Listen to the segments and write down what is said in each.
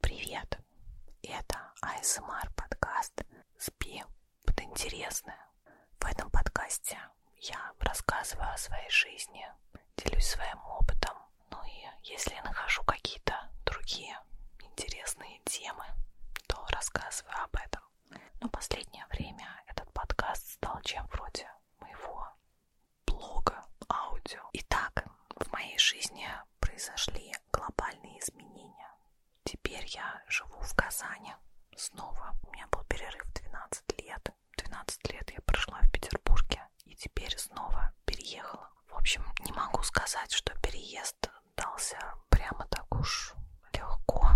Привет! Это АСМР подкаст «Спи под интересное». В этом подкасте я рассказываю о своей жизни, делюсь своим опытом, ну и если я нахожу какие-то другие интересные темы, то рассказываю об этом. Но последнее время этот подкаст стал чем вроде моего блога, аудио. Итак, в моей жизни произошли глобальные изменения. Теперь я живу в Казани снова. У меня был перерыв 12 лет. 12 лет я прошла в Петербурге и теперь снова переехала. В общем, не могу сказать, что переезд дался прямо так уж легко.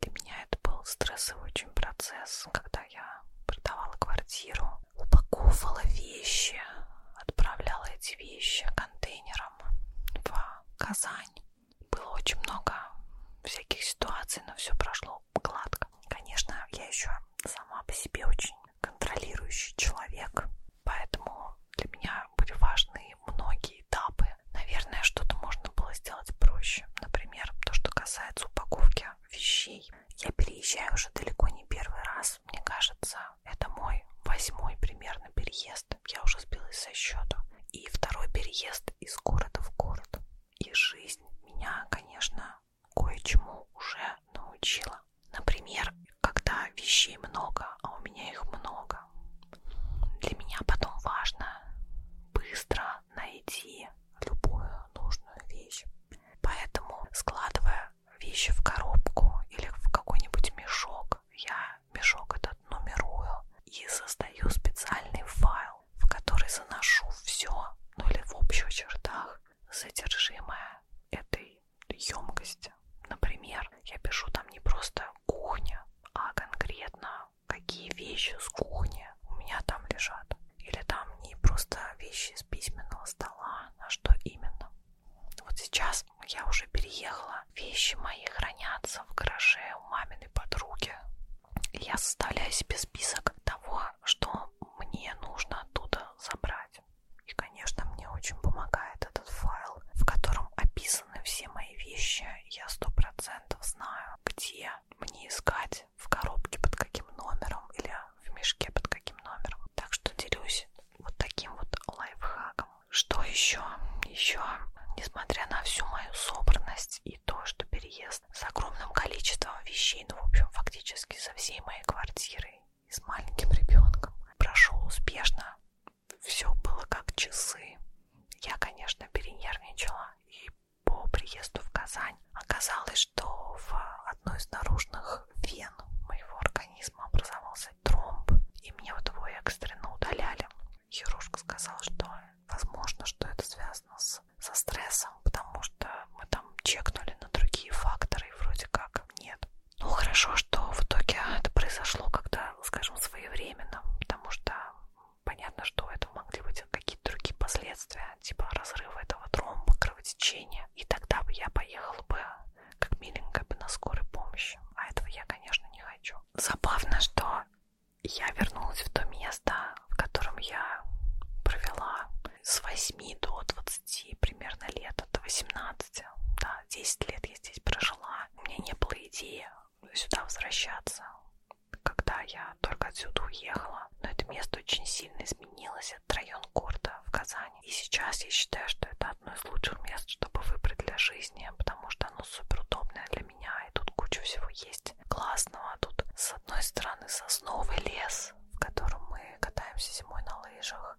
Для меня это был стрессовый очень процесс, когда я продавала квартиру, упаковывала вещи, отправляла эти вещи контейнером в Казань. Было очень много всяких ситуаций, но все прошло гладко. Конечно, я еще сама по себе очень контролирующий человек, поэтому для меня были важны многие этапы. Наверное, что-то можно было сделать проще. Например, то, что касается упаковки вещей. Я переезжаю уже далеко не первый раз. Мне кажется, это мой восьмой примерно переезд. Я уже сбилась со счета. И второй переезд из города в город. И жизнь меня, конечно, кое-чему уже научила. Например, когда вещей много, а у меня их много, для меня потом важно быстро найти любую нужную вещь. Поэтому, складывая вещи в коробку или в какой-нибудь мешок. Я мешок этот нумерую и создаю специальный файл, в который заношу все, ну или в общих чертах, содержимое этой емкости. Например, я пишу там не просто кухня, а конкретно какие вещи с кухни у меня там лежат. Или там не просто вещи с письменного стола, а что именно. Вот сейчас сейчас ну, я уже переехала. Вещи мои хранятся в гараже у маминой подруги. Я составляю себе список того, что мне нужно оттуда забрать. И, конечно, мне очень помогает этот файл, в котором описаны все мои вещи. Я сто процентов знаю, где мне искать, в коробке под каким номером или в мешке под каким номером. Так что делюсь вот таким вот лайфхаком. Что еще? Еще, несмотря на всю мою собранность и то, что переезд с огромным количеством вещей, ну, в общем, фактически со всей моей квартиры и с маленьким ребенком прошел успешно, все было как часы. Я, конечно, перенервничала и по приезду в Казань оказалось, что в одной из наружных вен моего организма организма образовался тромб, и мне вот его экстренно удаляли. Хирург сказал, что возможно, что это связано с, со стрессом, потому что мы там чекнули на другие факторы, и вроде как нет. Ну, хорошо, что в итоге это произошло когда, скажем, своевременно, потому что понятно, что это могли быть какие-то другие последствия, типа разрыва этого тромба, кровотечения, и тогда бы я поехала бы как миленькая бы на скорой помощи. А этого я, конечно, не хочу. Забавно, что я вернулась в то место, в котором я провела с 8 до 20 примерно лет, до 18. Да, 10 лет я здесь прожила. У меня не было идеи сюда возвращаться, когда я только отсюда уехала. Но это место очень сильно изменилось этот район города в Казани. И сейчас я считаю, что это одно из лучших мест, чтобы выбрать для жизни, потому что оно суперудобное для меня, и тут куча всего есть классного. Тут с одной стороны сосновый лес, в котором мы катаемся зимой на лыжах,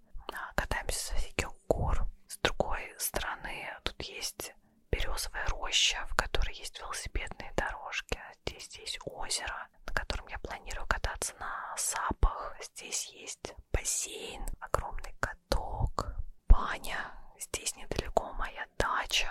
катаемся со всяких гор. С другой стороны тут есть березовая роща, в которой есть велосипедные дорожки. А здесь есть озеро, на котором я планирую кататься на сапах. Здесь есть бассейн, огромный каток, баня. Здесь недалеко моя дача.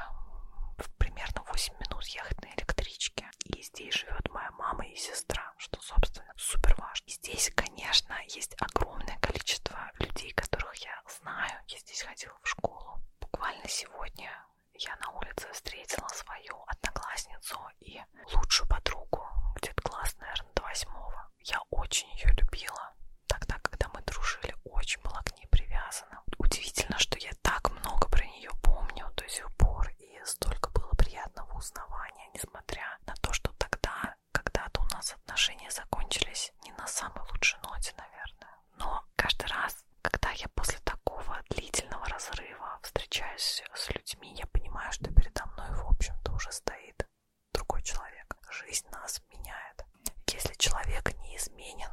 Примерно 8 минут ехать на электричке. И здесь живет моя мама и сестра, что, собственно, супер важно. И здесь, конечно, есть огромное количество людей, которых я знаю. Я здесь ходила в школу. Буквально сегодня я на улице встретила свою одноклассницу и себе лучшую подругу, где-то класс, наверное, до восьмого. Я очень ее любила. Тогда, когда мы дружили, очень была к ней привязана. Удивительно, что я так много про нее помню до сих пор, и столько было приятного узнавания, несмотря на то, что тогда, когда-то у нас отношения закончились не на самой лучшей ноте, наверное. Но каждый раз, когда я после такого длительного разрыва встречаюсь с людьми, я понимаю, что передо мной, в общем-то, уже стоит другой человек. Жизнь нас меняет. Если человек неизменен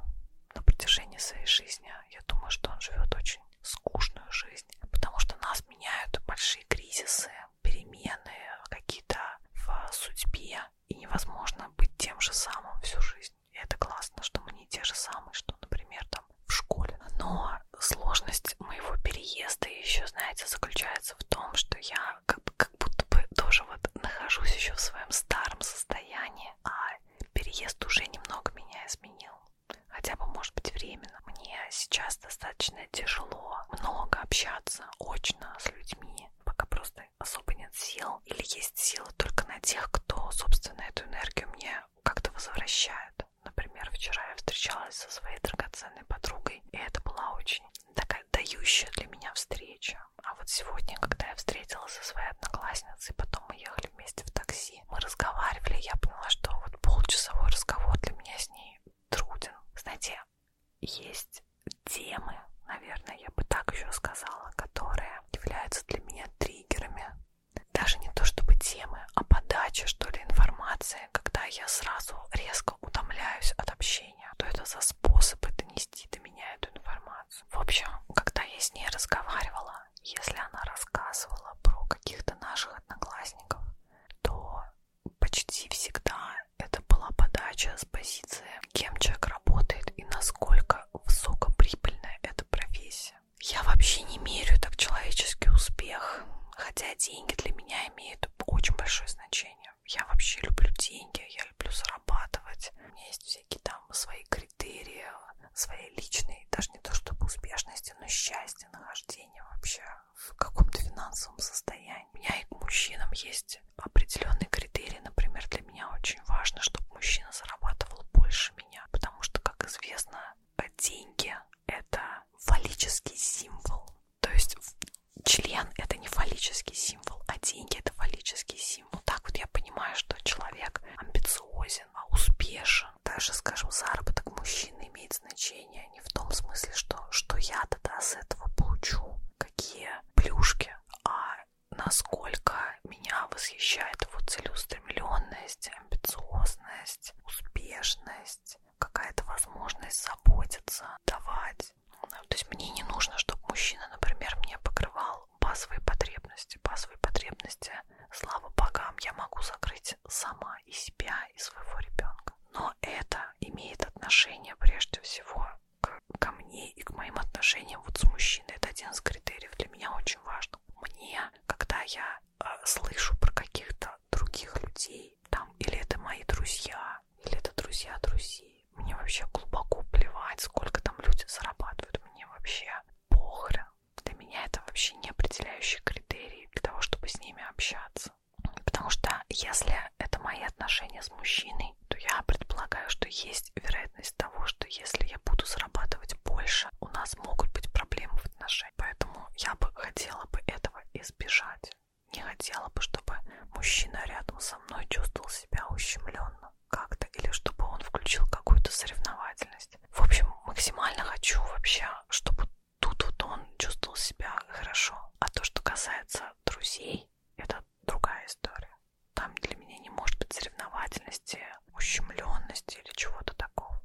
на протяжении своей жизни, я думаю, что он живет очень скучную жизнь, потому что нас меняют большие кризисы, перемены какие-то в судьбе, и невозможно быть тем же самым всю жизнь. И это классно, что мы не те же самые, что, например, там в школе. Но сложность моего переезда еще, знаете, заключается в том, что я как, как будто бы тоже вот нахожусь еще в своем старом состоянии, а переезд уже немного меня изменил. Хотя бы, может быть, временно. Мне сейчас достаточно тяжело много общаться очно с людьми, пока просто особо нет сил. Или есть силы только на тех, кто, собственно, эту энергию мне как-то возвращает. Например, вчера я встречалась со своей драгоценной подругой, и это была очень такая дающая для меня встреча. А вот сегодня, когда я встретилась со своей одноклассницей, потом мы ехали вместе в такси, мы разговаривали, я поняла, что вот полчасовой разговор для меня с ней труден. Знаете, есть темы, наверное, я бы так еще сказала, которые являются для меня триггерами. Даже не то чтобы темы, а подача, что ли, информации, когда я сразу резко настолько утомляюсь от общения, то это за способы донести до меня эту информацию. В общем, когда я с ней разговаривала, если она рассказывала про каких-то наших одноклассников, то почти всегда это была подача с позиции, кем человек работает и насколько высокоприбыльная эта профессия. Я вообще не мерю так человеческий успех, хотя деньги для меня имеют имеет очень большое значение. Я вообще люблю деньги, я люблю зарабатывать. У меня есть всякие там свои критерии, своей личной, даже не то чтобы успешности, но счастья, нахождения вообще в каком-то финансовом состоянии. У меня и к мужчинам есть определенные критерии. Например, для меня очень важно, чтобы мужчина зарабатывал больше меня, потому что, как известно, деньги — это фаллический символ. То есть член это не фаллический символ, а деньги это фаллический символ. Так вот я понимаю, что человек амбициозен, а успешен. Даже, скажем, заработок мужчины имеет значение не в том смысле, что, что я тогда с этого получу, какие плюшки, а насколько меня восхищает его целеустремленность, амбициозность, успешность, есть какая-то возможность заботиться, давать. Ну, то есть мне не нужно, чтобы мужчина, например, мне покрывал базовые потребности. Базовые потребности, слава богам, я могу закрыть сама и себя, и своего ребенка. Но это имеет отношение прежде всего к, ко мне и к моим отношениям вот с мужчиной. Это один из критериев для меня очень важно. Мне, когда я э, слышу про каких-то других людей, там, или это мои друзья, или это друзья друзей. Мне вообще глубоко плевать, сколько там люди зарабатывают. Мне вообще похрен. Для меня это вообще не определяющий критерий для того, чтобы с ними общаться. Потому что если это мои отношения с мужчиной, то я предполагаю, что есть вероятность того, что если я буду зарабатывать больше, у нас могут быть проблемы в отношениях. Поэтому я бы хотела бы этого избежать. Не хотела бы, чтобы мужчина рядом со мной чувствовал себя ущемленно как-то, или чтобы он включил какую-то соревновательность. В общем, максимально хочу вообще, чтобы тут вот он чувствовал себя хорошо. А то, что касается друзей, это другая история. Там для меня не может быть соревновательности, ущемленности или чего-то такого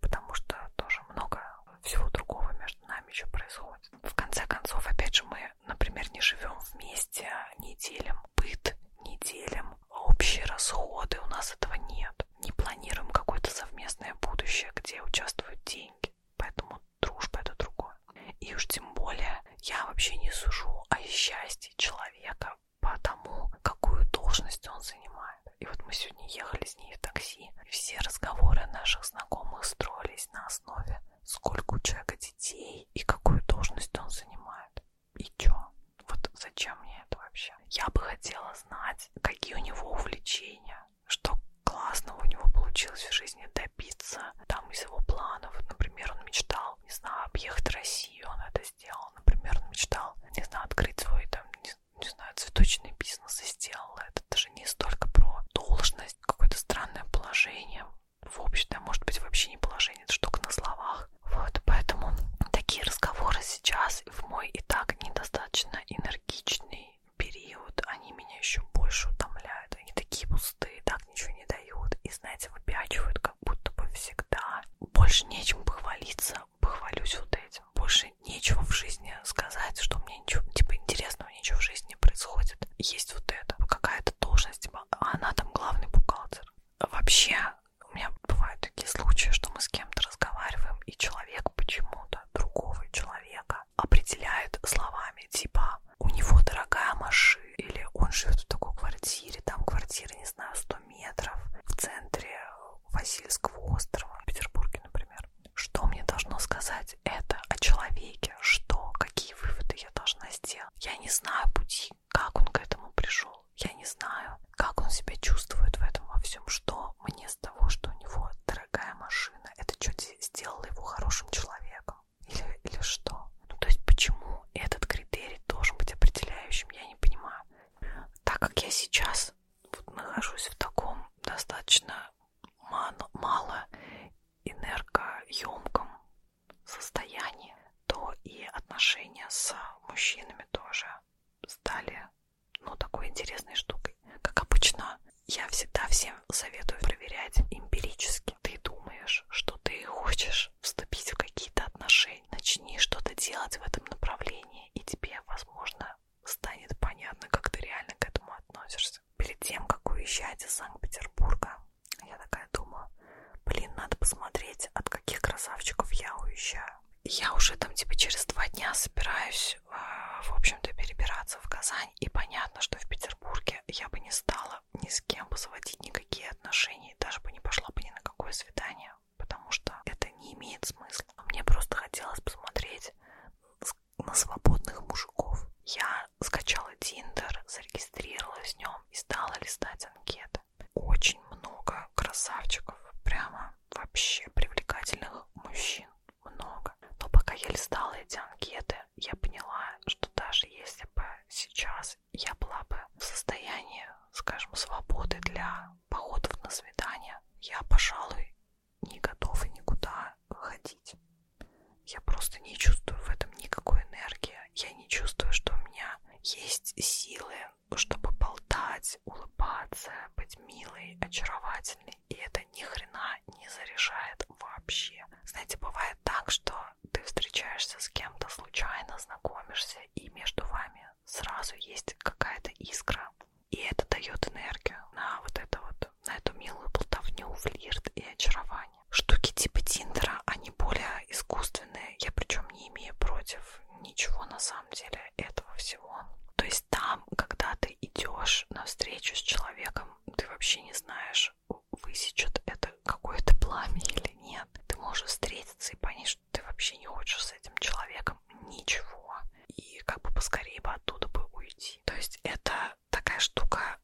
потому что тоже много всего другого между нами еще происходит. В конце концов, опять же, мы, например, не живем вместе, не делим быт, не делим общие расходы, у нас этого нет. Не планируем какое-то совместное будущее, где участвуют деньги. Поэтому дружба это другое. И уж тем более я вообще не сужу о счастье человека по тому, какую должность он занимает. И вот мы сегодня ехали с ней в такси, такси. Все разговоры наших знакомых строились на основе, сколько у человека детей и какую должность он занимает. И чё? Вот зачем мне это вообще? Я бы хотела знать, какие у него увлечения, что классного у него получилось в жизни добиться, там из его планов. Например, он мечтал, не знаю, объехать Россию, он это сделал. Например, он мечтал, не знаю, открыть свой там, не не знаю, цветочные бизнесы сделала. Это даже не столько про должность, какое-то странное положение в обществе, а может быть вообще не положение, это штука на словах. Вот, поэтому такие разговоры сейчас в мой и так недостаточно энергичный период, они меня еще больше утомляют. Они такие пустые, так ничего не дают. И, знаете, выпячивают как будто бы всегда. Больше нечем похвалиться, похвалюсь вот этим. Больше нечего в жизни сказать, что мне ничего, типа, интересного ничего в жизни не происходит. Есть вот это, какая-то должность, типа, а она там главный бухгалтер. Вообще, у меня бывают такие случаи, что мы с кем-то разговариваем, и человек почему-то другого человека определяет словами, типа, у него дорогая машина, или он живет в такой квартире, там квартира, не знаю, 100 метров, в центре Васильского острова, в Петербурге, например что мне должно сказать это о человеке, что, какие выводы я должна сделать. Я не знаю пути, как он к этому пришел. Я не знаю, как он себя чувствует в этом во всем, что мне с того, что у него дорогая машина, это что сделало его хорошим человеком или, или что. Ну, то есть почему этот критерий должен быть определяющим, я не понимаю. Так как я сейчас вот нахожусь в таком достаточно мало энергоемком состоянии, то и отношения с мужчинами тоже стали ну, такой интересной штукой. Как обычно, я всегда всем советую проверять эмпирически. Ты думаешь, что ты хочешь вступить в какие-то отношения, начни что-то делать в этом направлении, и тебе, возможно, станет понятно, как ты реально к этому относишься. Перед тем, как уезжать из Санкт-Петербурга, я такая думаю, блин, надо посмотреть, от каких красавчиков я уезжаю. Я уже там типа через два дня собираюсь, э, в общем-то, перебираться в Казань, и понятно, что в Петербурге я бы не стала ни с кем бы заводить никакие отношения, даже бы не пошла бы ни на какое свидание, потому что это не имеет смысла. Мне просто хотелось посмотреть, с на свободных мужиков. Я скачала Тиндер, зарегистрировалась в нем и стала листать анкеты. Очень много красавчиков, прямо вообще привлекательных мужчин, много. Но пока я листала эти анкеты, я поняла, что даже если бы сейчас я была бы в состоянии, скажем, свободы для походов на свидание, я, пожалуй, не готовы никуда ходить. Я просто не чувствую в этом никакой энергии. Я не чувствую, что у меня есть силы, чтобы болтать, улыбаться, быть милой, очаровательной. И это ни хрена не заряжает вообще. Знаете, бывает так, что ты встречаешься с кем-то случайно, знакомишься, и между вами сразу есть какая-то искра, и это дает энергию на вот это вот, на эту милую болтовню, флирт и очарование. Штуки типа Тиндера, они более искусственные. Я причем не имею против ничего на самом деле этого всего. То есть там, когда ты идешь на встречу с человеком, ты вообще не знаешь, высечет это какое-то пламя или нет. Ты можешь встретиться и понять, что ты вообще не хочешь с этим человеком ничего и как бы поскорее бы оттуда бы уйти. То есть это такая штука,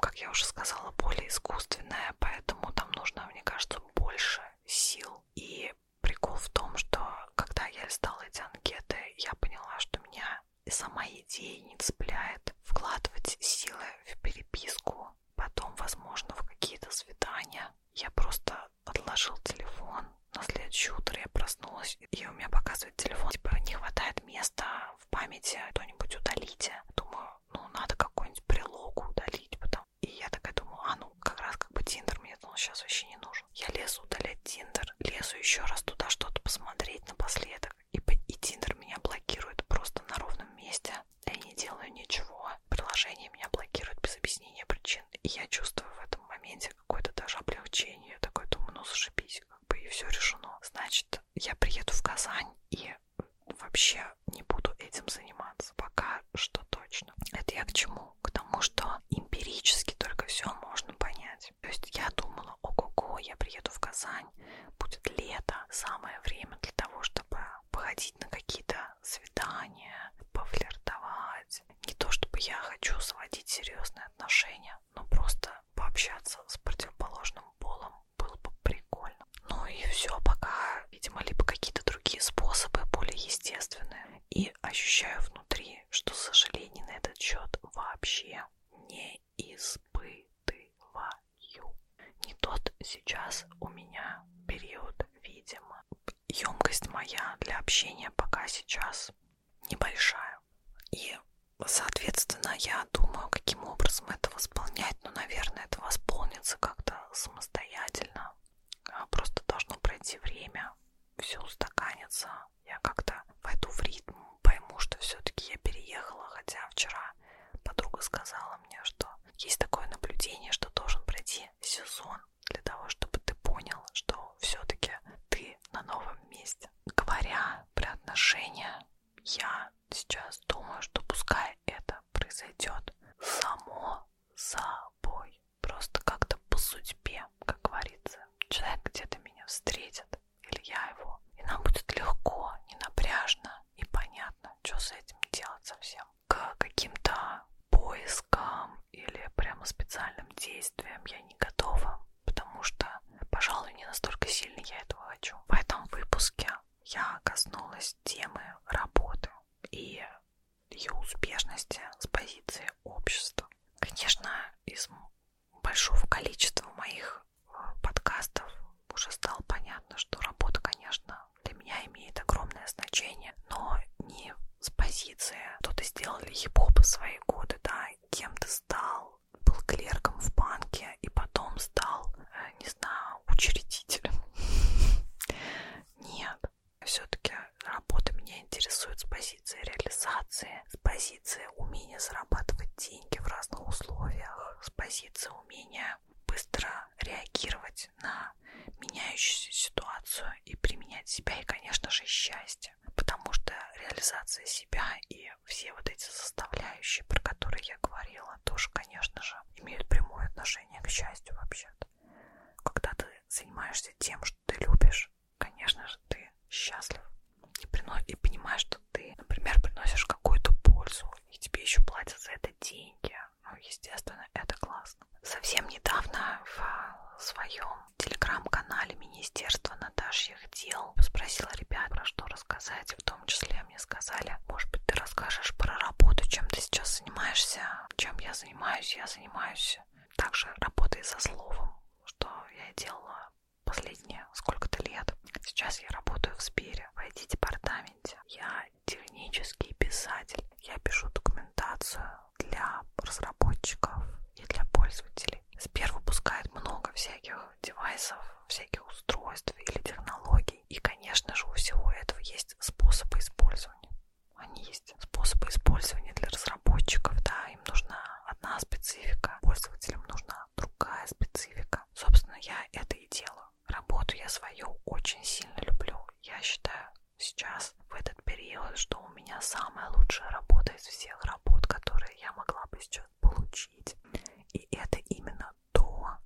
как я уже сказала, более искусственная, поэтому там нужно, мне кажется, больше сил. И прикол в том, что когда я листала эти анкеты, я поняла, что меня сама идея не цепляет вкладывать силы в переписку, потом, возможно, в какие-то свидания. Я просто отложил телефон на следующее утро я проснулась, и у меня показывает телефон, типа, не хватает места в памяти, кто-нибудь удалите. Думаю, ну, надо какую-нибудь прилогу удалить, потом. И я такая думаю, а ну, как раз как бы Тиндер мне думал, ну, сейчас вообще не нужен. Я лезу удалять Тиндер, лезу еще раз туда что-то посмотреть напоследок, и, и Тиндер меня блокирует просто на ровном месте. Я не делаю ничего, приложение меня блокирует без объяснения причин, и я чувствую в этом моменте какое-то даже облегчение. Я такой думаю, ну, зашибись, как бы и все решено. Значит, я приеду в Казань и вообще не буду этим заниматься. Пока что точно. Это я к чему? К тому, что эмпирически только все можно понять. То есть я думала, ого-го, я приеду в Казань, будет лето, самое время для того, чтобы походить на какие-то свидания, пофлиртовать. Не то, чтобы я хочу сводить серьезные отношения, меня, но ну, просто пообщаться с противоположным полом было бы прикольно. Ну и все, пока, видимо, либо какие-то другие способы, более естественные. И ощущаю внутри, что сожалений на этот счет вообще не испытываю. Не тот сейчас у меня период, видимо. Емкость моя для общения пока сейчас небольшая. И, соответственно, я думаю, каким образом это восполнять. Ну, наверное, это восполнится как-то самостоятельно. А просто должно пройти время, все устаканится. Я как-то войду в ритм, пойму, что все-таки я переехала, хотя вчера подруга сказала мне, что есть такое наблюдение, что должен пройти сезон для того, чтобы ты понял, что все-таки ты на новом месте есть, говоря про отношения, я сейчас думаю, что пускай это произойдет само собой, просто как-то по судьбе, как говорится. Человек где-то меня встретит, или я его, и нам будет легко, не напряжно и понятно, что с этим делать совсем. К каким-то поискам или прямо специальным действиям я не готова потому что, пожалуй, не настолько сильно я этого хочу. В этом выпуске я коснулась темы работы и ее успешности с позиции общества. Конечно, из большого количества моих э, подкастов уже стало понятно, что работа, конечно, для меня имеет огромное значение, но не с позиции, кто ты сделал хип-хоп в свои годы, да, кем ты стал, работал, был клерком в банке и потом стал, э, не знаю, учредителем. Нет, все-таки работа меня интересует с позиции реализации, с позиции умения зарабатывать деньги в разных условиях, с позиции умения быстро реагировать на меняющуюся ситуацию и применять себя, и, конечно же, счастье работе, потому что реализация себя и все вот эти составляющие, про которые я говорила, тоже, конечно же, имеют прямое отношение к счастью вообще-то. Когда ты занимаешься тем, что ты любишь, конечно же, ты счастлив и, принос... и понимаешь, что ты, например, приносишь какую-то пользу, и тебе еще платят за это деньги. Ну, естественно, это классно. Совсем недавно в своем телеграм-канале Министерства Наташьих дел. Спросила ребят, про что рассказать. В том числе мне сказали, может быть, ты расскажешь про работу, чем ты сейчас занимаешься. Чем я занимаюсь, я занимаюсь также работой со словом, что я делала последние сколько-то лет. Сейчас я работаю в Сбере, в IT-департаменте. Я технический писатель. Я пишу документацию для разработчиков, и для пользователей. Сбер выпускает много всяких девайсов, всяких устройств или технологий. И, конечно же, у всего этого есть способы использования. Они есть. Способы использования для разработчиков, да, им нужна одна специфика, пользователям нужна другая специфика. Собственно, я это и делаю. Работу я свою очень сильно люблю. Я считаю сейчас, в этот период, что у меня самая лучшая работа из всех работ, которые я могла бы сейчас получить. И это именно то,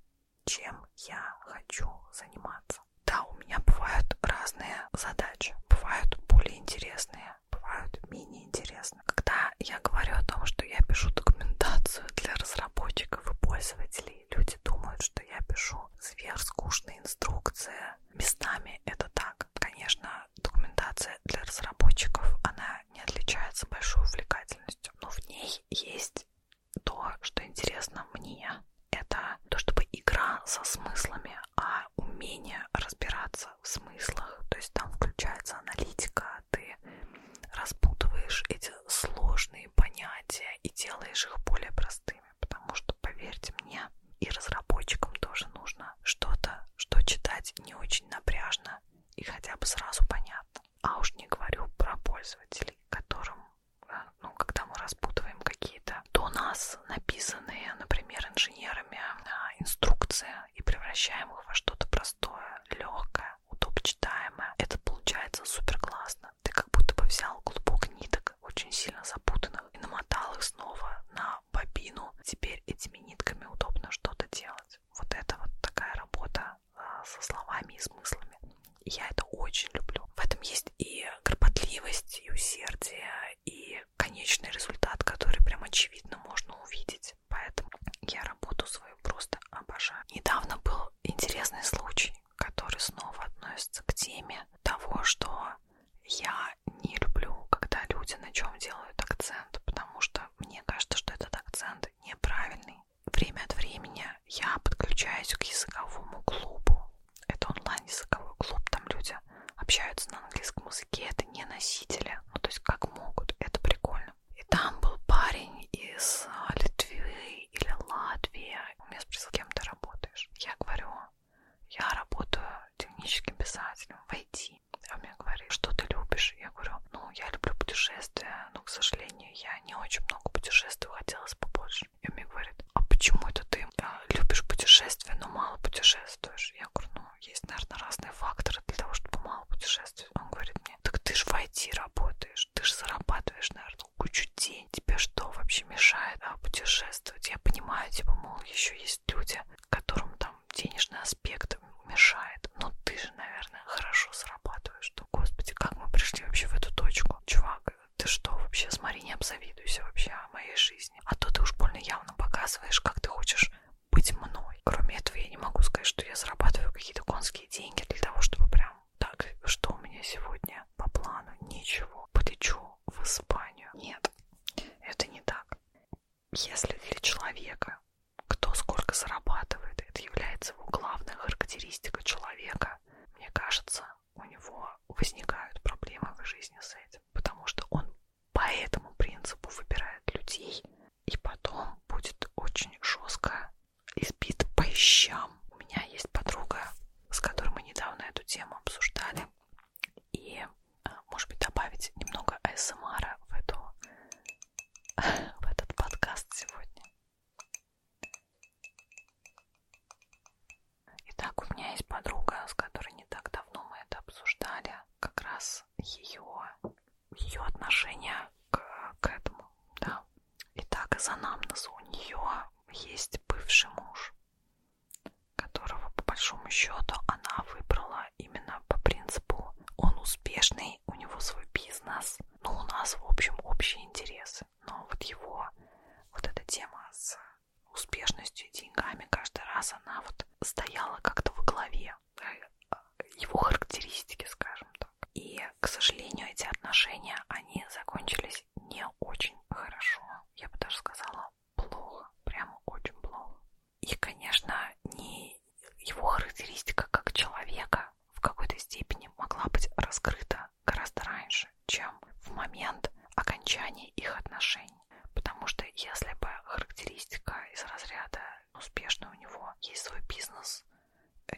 чем я хочу заниматься. Да, у меня бывают разные задачи, бывают более интересные, бывают менее интересные. Когда я говорю о том, что я пишу документацию для разработчиков и пользователей, люди думают, что я пишу сверхскучные инструкции. Местами это так. Конечно, документация для разработчиков, она не отличается большой увлекательностью, но в ней есть то, что интересно мне. Это то, чтобы игра со смыслами, а умение разбираться в смыслах. То есть там включается аналитика, ты распутываешь эти сложные понятия и делаешь их более простыми. Потому что, поверьте мне, и разработчикам тоже нужно что-то, что читать не очень очень напряжно и хотя бы сразу понятно. А уж не говорю про пользователей, которым, э, ну, когда мы распутываем какие-то до нас написанные, например, инженерами а, инструкции и превращаем их во что-то простое, легкое, удобочитаемое, это получается супер классно. Ты как будто бы взял клубок ниток, очень сильно запутанных, и намотал их снова на на бобину. Теперь этими нитками удобно что-то делать. Вот это вот такая работа а, со словами и смыслами. И я это очень люблю. В этом есть и кропотливость, и усердие, и конечный результат, который прям очевидно можно увидеть. Поэтому я работу свою просто обожаю. Недавно был интересный случай, который снова относится к теме того, что я не люблю, когда люди на чем делают акцент, потому что мне кажется, что этот акцент неправильный. Время от времени я подключаюсь к языковому клубу. Это онлайн-языковой клуб, там люди общаются на английском языке, это не носители, ну то есть как могут, это прикольно. И там был парень из а, Литвы или Латвии, у меня спросил, кем ты работаешь? Я говорю, я работаю техническим писателем в IT. России. А он мне говорит, что ты любишь? Я говорю, ну, я люблю путешествия, но, к сожалению, я не очень много путешествую, хотелось побольше. И он мне говорит, а почему это ты э, любишь путешествия, но мало путешествуешь? Я говорю, ну, есть, наверное, разные факторы для того, чтобы мало путешествовать. Он говорит мне, так ты же в IT работаешь, ты же зарабатываешь, наверное, кучу денег. Тебе что вообще мешает а, путешествовать? Я понимаю, типа, мол, еще есть люди, которым там там денежный аспект мешает. Но ты же, наверное, хорошо срабатываешь. Что, господи, как мы пришли вообще в эту точку? Чувак, ты что вообще? Смотри, не обзавидуйся вообще о моей жизни. А то ты уж больно явно показываешь, как ты хочешь быть мной. Кроме этого, я не могу сказать, что я зарабатываю какие-то конские деньги для того, чтобы прям так, что у меня сегодня по плану? Ничего. Полечу в Испанию. Нет, это не так. Если для человека, кто сколько зарабатывает, это является его главной характеристикой человека, мне кажется, у него возникают проблемы в жизни с этим, потому что он по этому принципу выбирает людей и потом будет очень жестко избит по щам. У меня есть подруга, с которой мы недавно эту тему обсуждали, и может быть, добавить немного АСМРа в, эту, в этот подкаст сегодня. Итак, у меня есть подруга, с которой не так давно мы это обсуждали, как раз ее, ее отношение к, к этому, да. Итак, из анамнеза у нее есть бывший муж, которого, по большому счету, она выбрала а именно по принципу он успешный, у него свой бизнес, но ну, у нас, в общем, общие интересы. Но вот его, вот эта тема с успешностью и деньгами каждый раз она вот стояла как-то во главе э, его характеристики, скажем так. И, к сожалению, эти отношения, они закончились не очень хорошо. Я бы даже сказала, плохо. Прямо очень плохо. И, конечно, не его характеристика как человека в какой-то степени могла быть раскрыта гораздо раньше, чем в момент окончания их отношений. Потому что если бы характеристика из разряда успешный у него есть свой бизнес,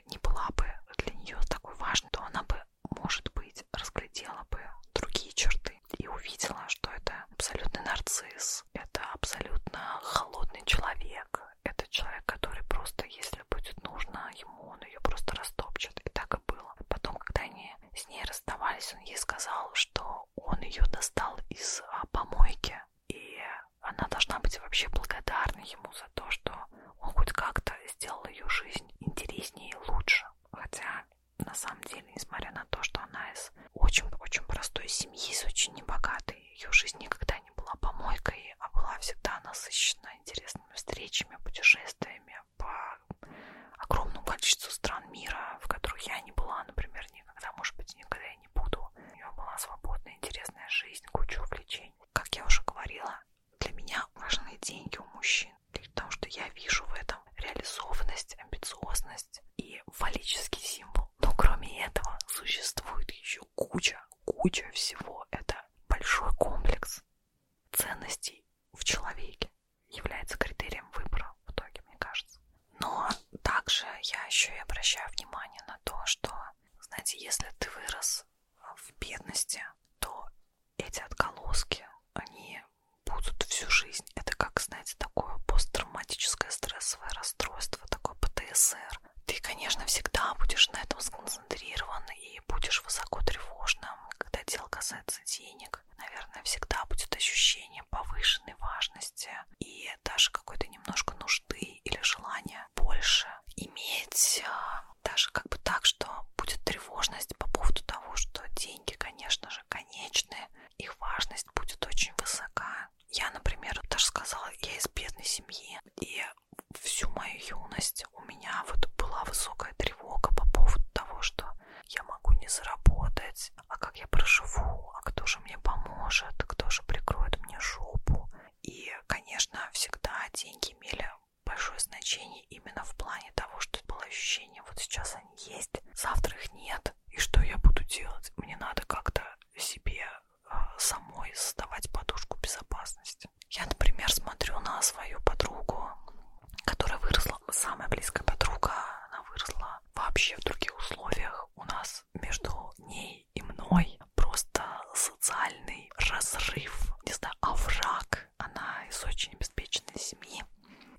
не была бы для нее такой важной, то она бы, может быть, разглядела бы другие черты и увидела, что это абсолютный нарцисс, это абсолютно холодный человек, это человек, который просто, если будет нужно ему, он ее просто растопчет. И так и было. Потом, когда они с ней расставались, он ей сказал, что он ее достал из а, помойки, и она должна быть вообще благодарна ему за то, что он хоть как-то сделал ее жизнь интереснее и лучше. Хотя, на самом деле, несмотря на то, что она из из очень-очень простой семьи, из очень небогатой. Ее жизнь никогда не была помойкой, а была всегда насыщена интересными встречами, путешествиями по огромному количеству стран мира, в которых я не была, например, никогда, может быть, никогда я не буду. У нее была свободная, интересная жизнь, куча увлечений. Как я уже говорила, для меня важны деньги у мужчин, потому что я вижу в этом реализованность, амбициозность и фаллический символ но, но кроме этого существует еще куча, куча всего. Это большой комплекс ценностей в человеке является критерием выбора в итоге, мне кажется. Но также я еще и обращаю внимание на то, что, знаете, если ты вырос в бедности, то эти отголоски, они будут всю жизнь жизнь. Это как, знаете, такое посттравматическое стрессовое расстройство, такое ПТСР. Ты, конечно, всегда будешь на этом сконцентрирован и будешь высоко тревожным, когда дело касается денег. Наверное, всегда будет ощущение повышенной важности и даже какой-то немножко нужды или желания больше иметь а, даже как бы так, что будет тревожность по поводу того, что деньги, конечно же, конечны, их важность будет очень высока, я, например, даже сказала, я из бедной семьи, и всю мою юность у меня вот была высокая тревога по поводу того, что я могу не заработать, а как я проживу, а кто же мне поможет, кто же прикроет мне жопу. И, конечно, всегда деньги имели большое значение именно в плане того, что было ощущение, вот сейчас они есть, завтра их нет, и что я буду делать? Мне надо как-то себе э, самой создавать подушку безопасности. Я, например, смотрю на свою подругу, которая выросла, самая близкая подруга, она выросла вообще в других условиях. У нас между ней и мной просто социальный разрыв, не знаю, овраг. А она из очень обеспеченной семьи,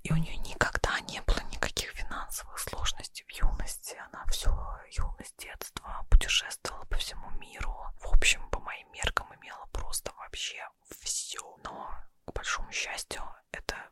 и у нее никогда не было никаких финансовых сложностей есть в юности она всю юность детства путешествовала по всему миру. В общем, по моим меркам имела просто вообще все. Но, к большому счастью, это,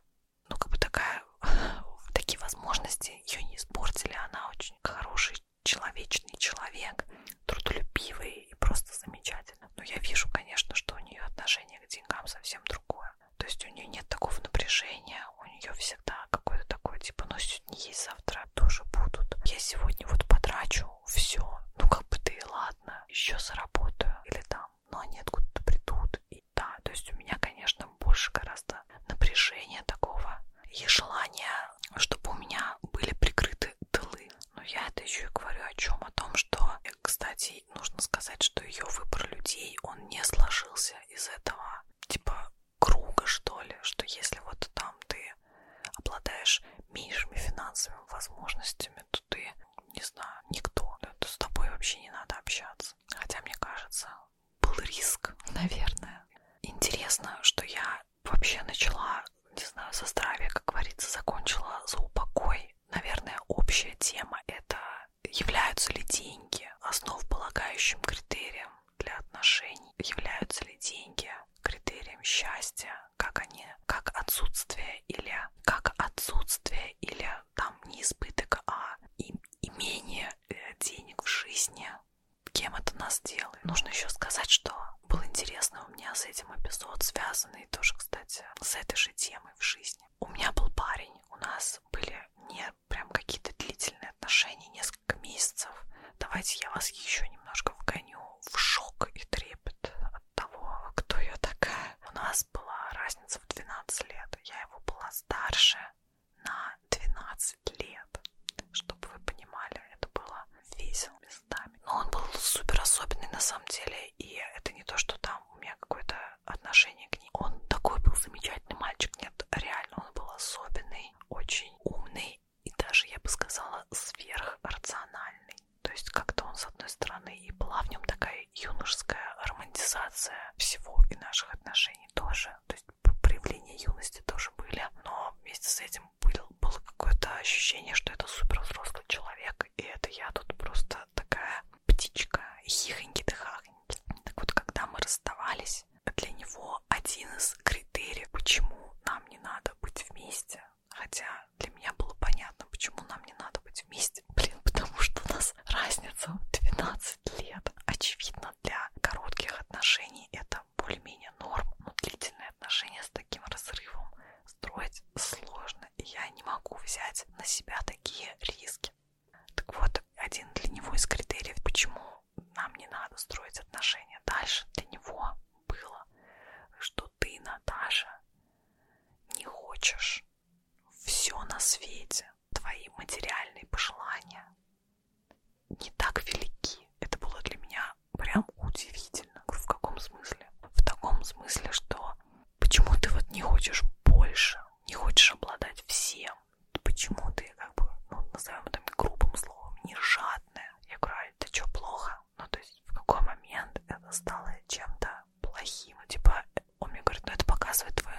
ну, как бы такая, такие возможности ее не испортили. Она очень хороший, человечный человек, трудолюбивый и просто замечательный. Но я вижу, конечно, что у нее отношение к деньгам совсем другое. То есть у нее нет такого напряжения, у нее всегда какое-то такое, типа, ну сегодня есть, завтра тоже будут. Я сегодня вот потрачу все, ну как бы да и ладно, еще заработаю или там, но они откуда-то придут. И да, то есть у меня, конечно, больше гораздо напряжения такого и желания, чтобы у меня были прикрыты тылы. Но я это еще и говорю о чем? О том, что, кстати, нужно сказать, что ее выбор людей, он не сложился из этого типа круга, что ли, что если вот там ты обладаешь меньшими финансовыми возможностями, то ты, не знаю, никто, да, то с тобой вообще не надо общаться. Хотя, мне кажется, был риск, наверное. Интересно, что я вообще начала, не знаю, со здравия, как говорится, закончила за упокой. Наверное, общая тема — это являются ли деньги основополагающим критерием для отношений, являются ли деньги критерием счастья, как они, как отсутствие или как отсутствие или там не избыток, а имение э, денег в жизни, кем это нас делает. Нужно еще сказать, что был интересный у меня с этим эпизод, связанный тоже, кстати, с этой же темой в жизни. У меня был парень, у нас были не прям какие-то длительные отношения, несколько месяцев, давайте я вас еще немножко вгоню в шок и трепет от того, кто я такая. У нас была разница в 12 лет, я его была старше на 12 лет, чтобы вы понимали, это было весело местами. Но он был супер особенный на самом деле, и это не то, что там у меня какой-то отношение к ней. Он такой был замечательный мальчик, нет, реально он был особенный, очень умный и даже, я бы сказала, сверхрациональный. То есть как-то он, с одной стороны, и была в нем такая юношеская романтизация всего и наших отношений тоже. То есть проявления юности тоже были, но вместе с этим был, было какое-то ощущение, что это супер взрослый человек, и это я тут просто такая птичка, хихоньки-дыхахоньки. Так вот, когда мы расставались, здесь для него один из критериев, почему нам не надо быть вместе. Хотя для меня было понятно, почему нам не надо быть вместе. Блин, потому что у нас разница 12 лет. Очевидно, для коротких отношений это более-менее норм, но длительные отношения с таким разрывом строить сложно. И я не могу взять на себя такие риски. Так вот, один для него из критериев, почему нам не надо строить отношения дальше, для него было, что ты, Наташа, не хочешь все на свете, твои материальные пожелания не так велики. Это было для меня прям удивительно. В каком смысле? В таком смысле, что почему ты вот не хочешь больше, не хочешь обладать всем, почему ты, как бы, ну, назовем это грубым словом, не жадная? Я говорю, а это что, плохо? Ну, то есть, в какой момент это стало чем-то плохим? Типа, он мне говорит, ну, это показывает твою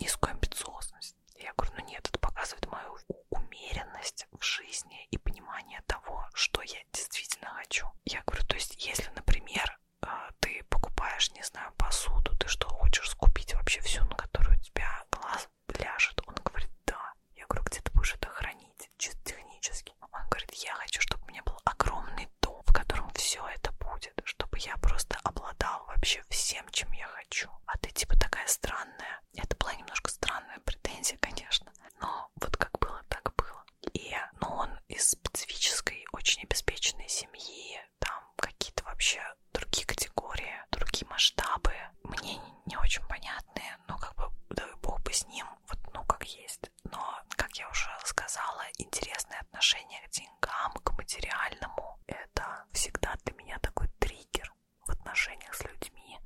низкую амбициозность. Я говорю, ну нет, это показывает мою умеренность в жизни и понимание того, что я действительно хочу. Я говорю, то есть, если, например, э, ты покупаешь, не знаю, посуду, ты что, хочешь скупить вообще всю, на которую у тебя глаз ляжет? Он говорит, да. Я говорю, где ты будешь это хранить? Чисто технически. Он говорит, я хочу, чтобы у меня был огромный дом, в котором все это будет, чтобы я просто обладал вообще всем, чем я хочу. А ты типа такая странная. Это была немножко странная претензия, конечно, но вот как было, так было. И, но ну, он из специфической, очень обеспеченной семьи, там какие-то вообще другие категории, другие масштабы, мне не очень понятные, но как бы дай бог бы с ним, вот ну как есть. Но, как я уже сказала, интересное отношение к деньгам, к материальному, это всегда для меня такой триггер в отношениях с людьми,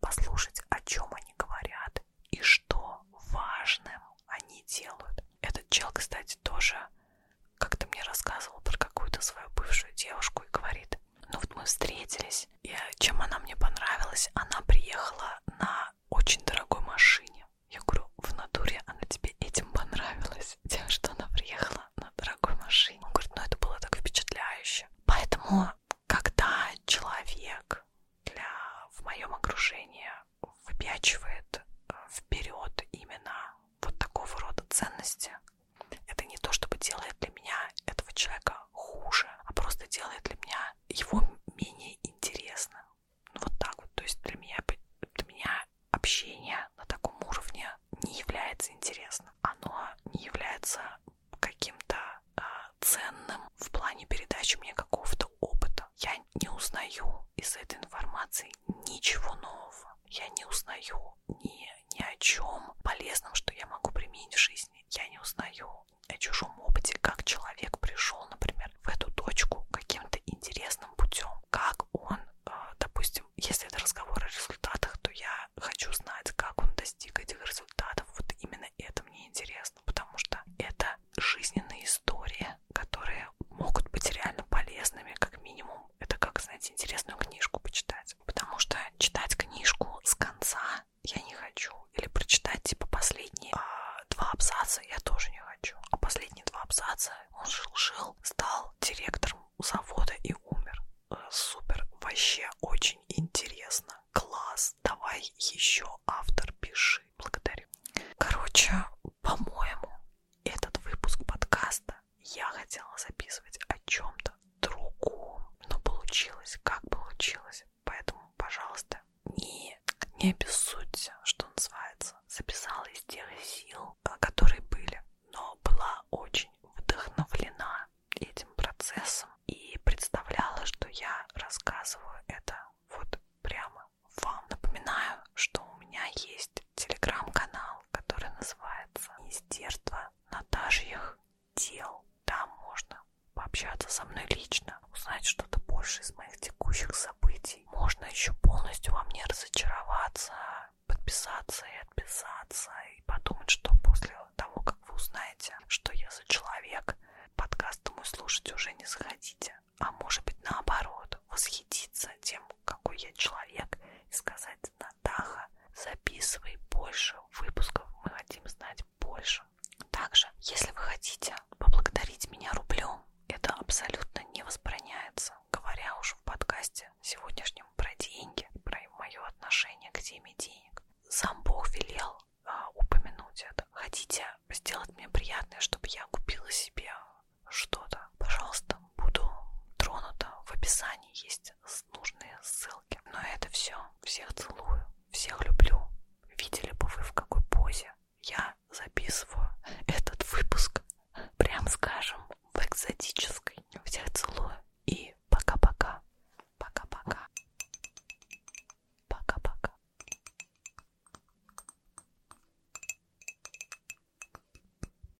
послушать, о чем они говорят и что важным они делают. Этот чел, кстати, тоже как-то мне рассказывал про какую-то свою бывшую девушку и говорит, ну вот мы встретились, и чем она мне понравилась, она приехала на очень дорогой машине. Я говорю, в натуре она тебе этим понравилась, тем, что она приехала на дорогой машине. Он говорит, ну это было так впечатляюще. Поэтому, когда человек для в моем окружении выпячивает э, вперед именно вот такого рода ценности, это не то, чтобы делает для меня этого человека хуже, а просто делает для меня его менее интересным. Ну, вот так вот. То есть для меня, для меня общение на таком уровне не является интересным. Оно не является каким-то э, ценным в плане передачи мне какого-то опыта. Я не узнаю из этой информации ничего нового. Я не узнаю узнаю ни, ни о чем полезном, что я могу применить в жизни. Я не узнаю о чужом опыте, как человек пришел, например, в эту точку каким-то интересным путем, как он, э, допустим, если это разговор о результатах, то я хочу знать, как он достиг этих результатов. Вот именно это мне интересно, потому что это жизненные истории, которые могут быть реально полезными, как минимум это как, знаете, интересную книжку почитать. Потому что читать книжку с конца я не хочу. Или прочитать, типа, последние э, два абзаца я тоже не хочу. А последние два абзаца он жил-жил, стал директором завода и умер. Э, супер, вообще очень интересно. Класс, давай еще автор пиши. Благодарю. Короче, по-моему, этот выпуск подкаста это я хотела записывать о чем-то другом, но получилось, как получилось. Поэтому, пожалуйста, не, не обессудьте, что называется. Записала из тех сил, а, которые были, но была очень вдохновлена этим процессом и представляла, что я рассказываю это вот прямо вам. Напоминаю, что у меня есть телеграм-канал, канал, который называется Министерство Наташьих дел. Там можно пообщаться со мной лично, узнать что-то больше из моих текущих событий. Можно еще полностью во мне разочароваться, подписаться и отписаться, и подумать, что после того, как вы узнаете, что я за человек, подкаст мой слушать уже не захотите. А может быть наоборот, восхититься тем, какой я человек, и сказать говорит Натаха. Записывай больше выпусков, мы хотим знать больше. Также, если вы хотите поблагодарить меня рублем, это абсолютно не возбраняется, говоря уж в подкасте сегодняшнем про деньги, про мое отношение к теме денег. Сам Бог велел а, упомянуть это. Хотите сделать мне приятное, чтобы я купила себе что-то, пожалуйста, буду тронута. В описании есть нужные ссылки. Но это все. Всех целую, всех люблю. Видели бы вы в какой позе я записываю этот выпуск, прям скажем, в экзотической. Всех целую и пока-пока. Пока-пока. Пока-пока.